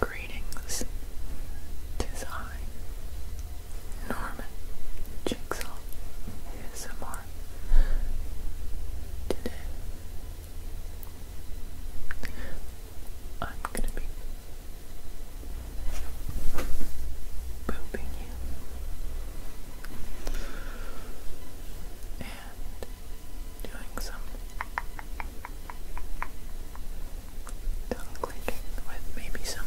Greetings, tis I, Norman Jigsaw ASMR today I'm gonna be pooping you and doing some tongue clicking with maybe some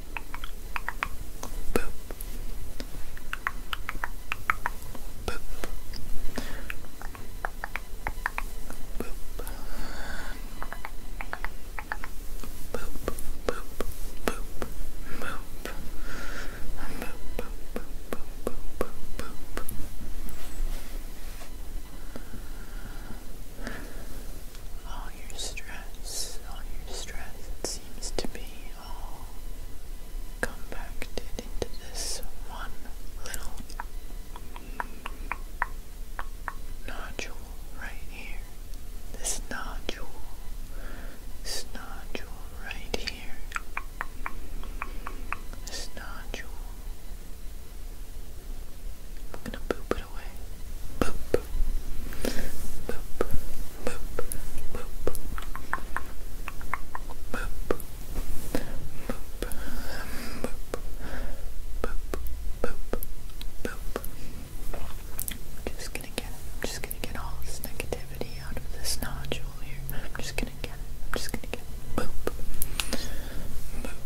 Boop. Boop. Boop. Boop, boop, boop, boop, boop, boop, boop, boop, boop, boop. All your stress, all your stress, it seems to be all compacted into this one little nodule right here. This nodule. This nodule right here. This nodule. I'm gonna boop it away. Boop. I'm just gonna get I'm just gonna get all this negativity out of this nodule here. I'm just gonna get I'm just gonna get Boop. Boop. Boop.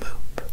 Boop. Boop.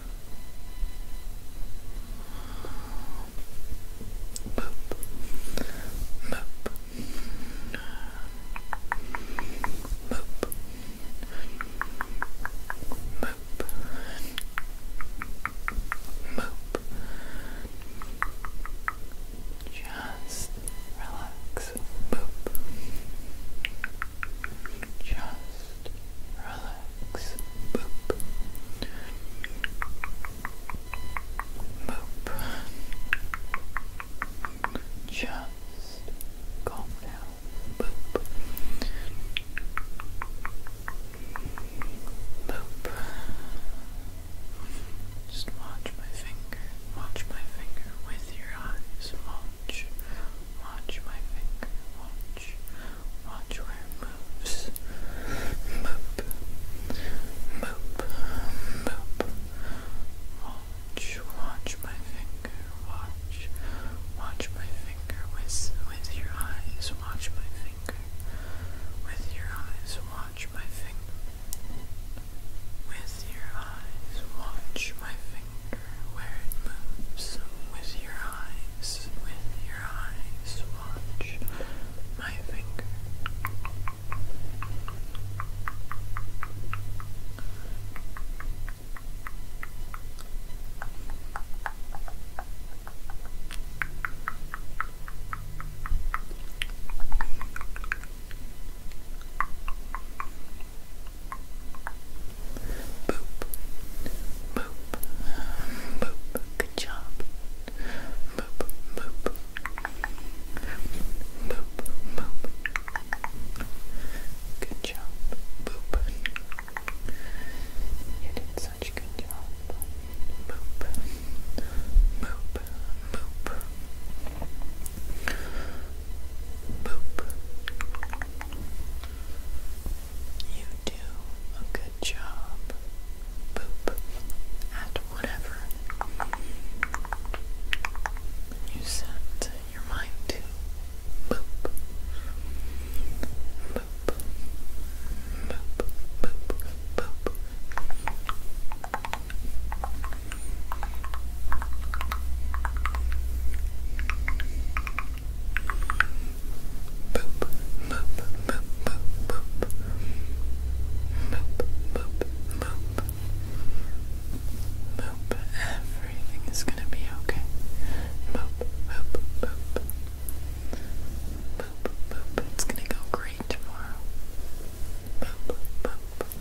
Boop. Boop. Boop. Boop. Boop. Just relax. Boop. Just relax. Boop. Boop. Just calm down. Boop. Boop. Just watch my finger. Watch my finger with your eyes. Watch. Watch my finger. Watch. Watch where it moves. Moop. Moop. Moop. Watch, watch my finger. Watch. Watch my finger with with your eyes. Watch my finger. With your eyes. Watch my finger. With your eyes. Watch my finger where it moves. With your eyes eyes, with your eyes, watch my finger. Boop boop, boop. Good job. Boop, boop. Boop, boop. Good job. Boop. You did such good job. Boop. Boop. Boop. You do a good job, boop, at whatever you set your mind to. Boop, boop, boop, boop, boop. Boop, Boop, boop, boop, boop, boop. Boop, boop, boop. Boop, everything is gonna be okay. Boop, boop, boop. Boop, boop, it's gonna go great tomorrow. Boop, boop. Boop,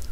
Boop.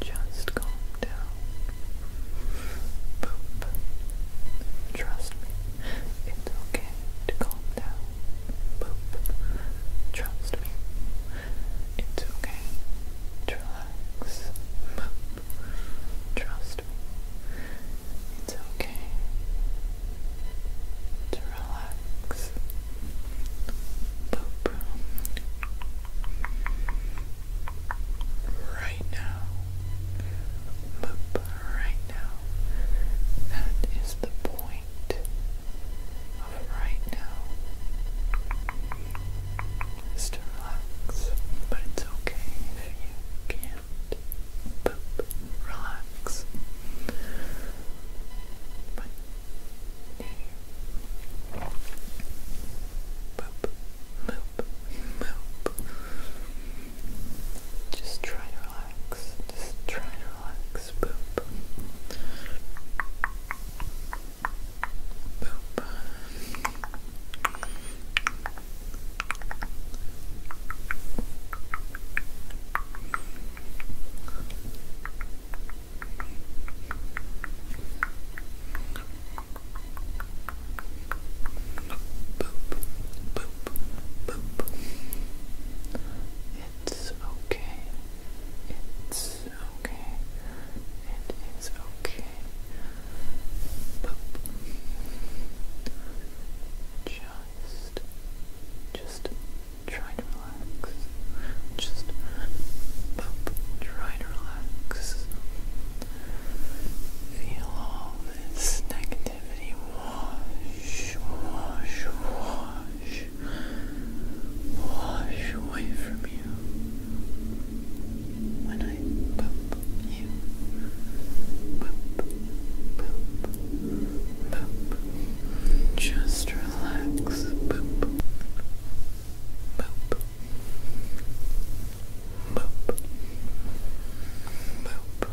Just calm down. Trust me, it's okay to calm down. Trust me, it's okay to relax. Trust me, it's okay relax. Right now, Right now, that is the point of right now is to relax, but it's okay if you can't poop, relax. But poop, moop, Just try to relax. Just try to relax. Poop. Boop. Boop, boop, It's okay. It's is okay. It is okay. Just, just try to relax. Just, Try to relax. Feel all this negativity wash, wash, wash, wash away from you when I poop you. Poop, poop, poop. Just relax. Poop, poop, poop, poop, poop. Boop. Boop.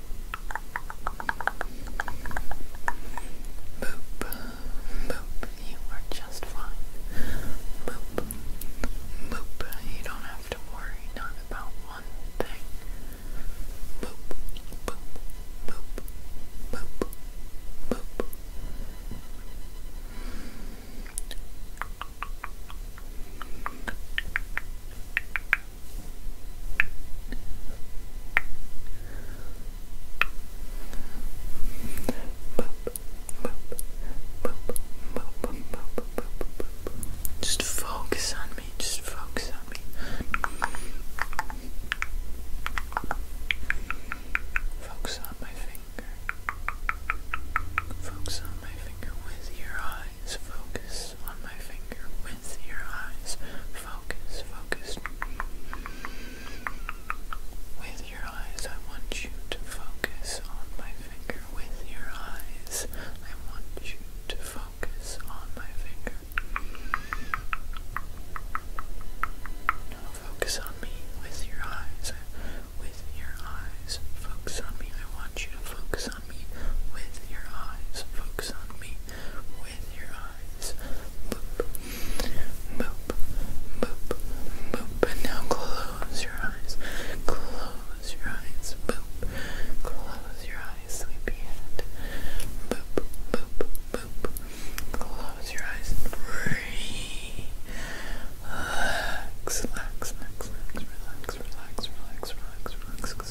Boop, boop, you are just fine. Boop, boop, you don't have to worry not about one thing. boop, boop, boop, boop. Boop, just focus on me, just focus on me. Focus on my finger. Focus on my finger with your eyes. Focus focus on my finger with your eyes. Focus, focus. With your eyes, I want you to focus on my finger. With your eyes, I want you to focus on my finger. Now focus on me with your eyes. With your eyes, focus on me. I want want you to focus on me with your eyes. Focus on me with your eyes. Boop, boop, boop, boop. And now close your eyes. Close your eyes. Boop. Close your eyes, sleepyhead. Boop, boop, boop. Close your eyes. Relax, relax, relax, relax, relax, relax, relax, relax, relax.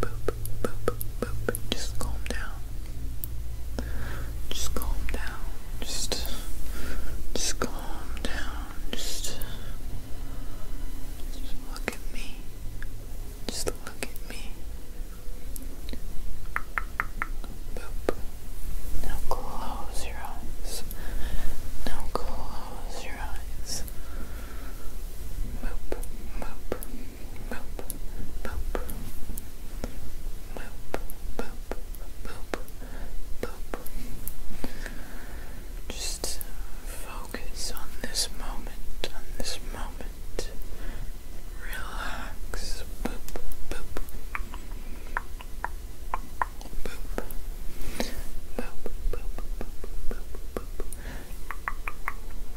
boop, boop, boop. Just calm down. Just calm down. Just, just calm down. Just, just look at me. Just look at me. Boop. Now close your eyes. Now close your eyes. Boop, boop boop, boop, boop, boop, boop, boop. Just focus on this moment, on this moment. Relax, boop, boop, boop, boop, boop, boop, boop,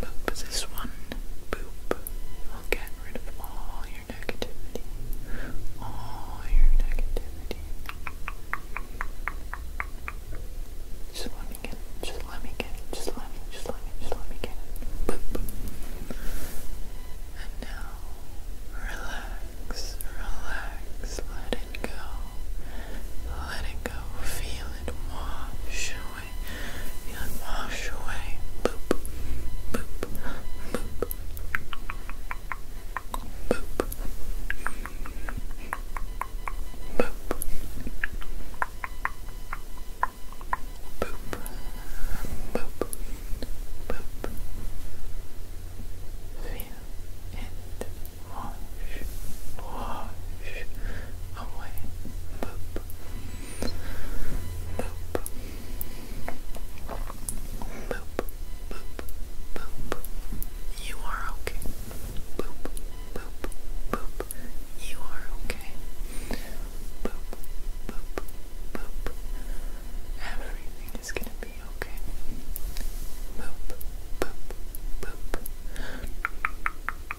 Boop this one. Boop. I'll get rid of all your negativity. All your negativity. Just let me get Just let me get Just let me, just let me, just let me get Boop. And now, relax, relax, let it go. Let it go, feel it wash away. wash away. Boop. Boop. Boop. Boop. Boop. Boop. Boop. Boop. Feel it wash, wash away. Boop. Boop. Boop. Boop. Boop. You are okay. Boop. Boop. Boop. You are okay. Boop. Boop. Boop. Everything is gonna be okay. Boop. Boop. Boop.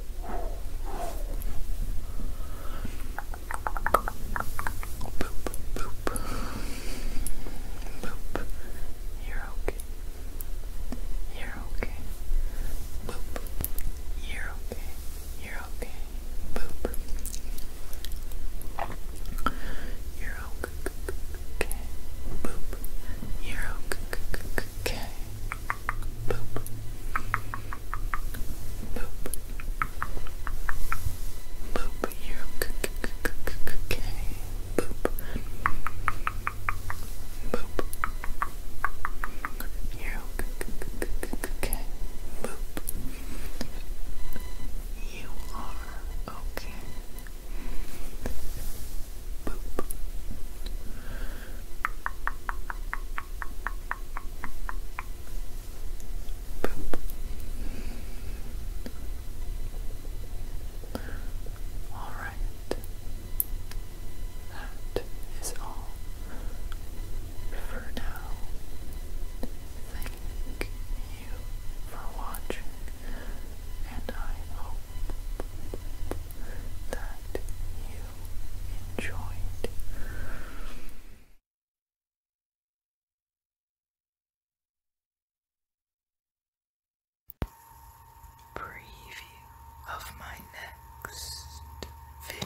Boop, boop. Boop. You're okay. You're okay. Boop. You're okay. You're okay. Boop. You're okay. Boop. You're okay. Boop. Boop. Boop. You're okay. Boop. Boop. You're okay. Boop. You are okay. Boop. All right. That is all for now. Thank you for watching, and I hope that you enjoyed. Preview of my next video.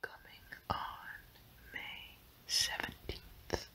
coming on May 17th.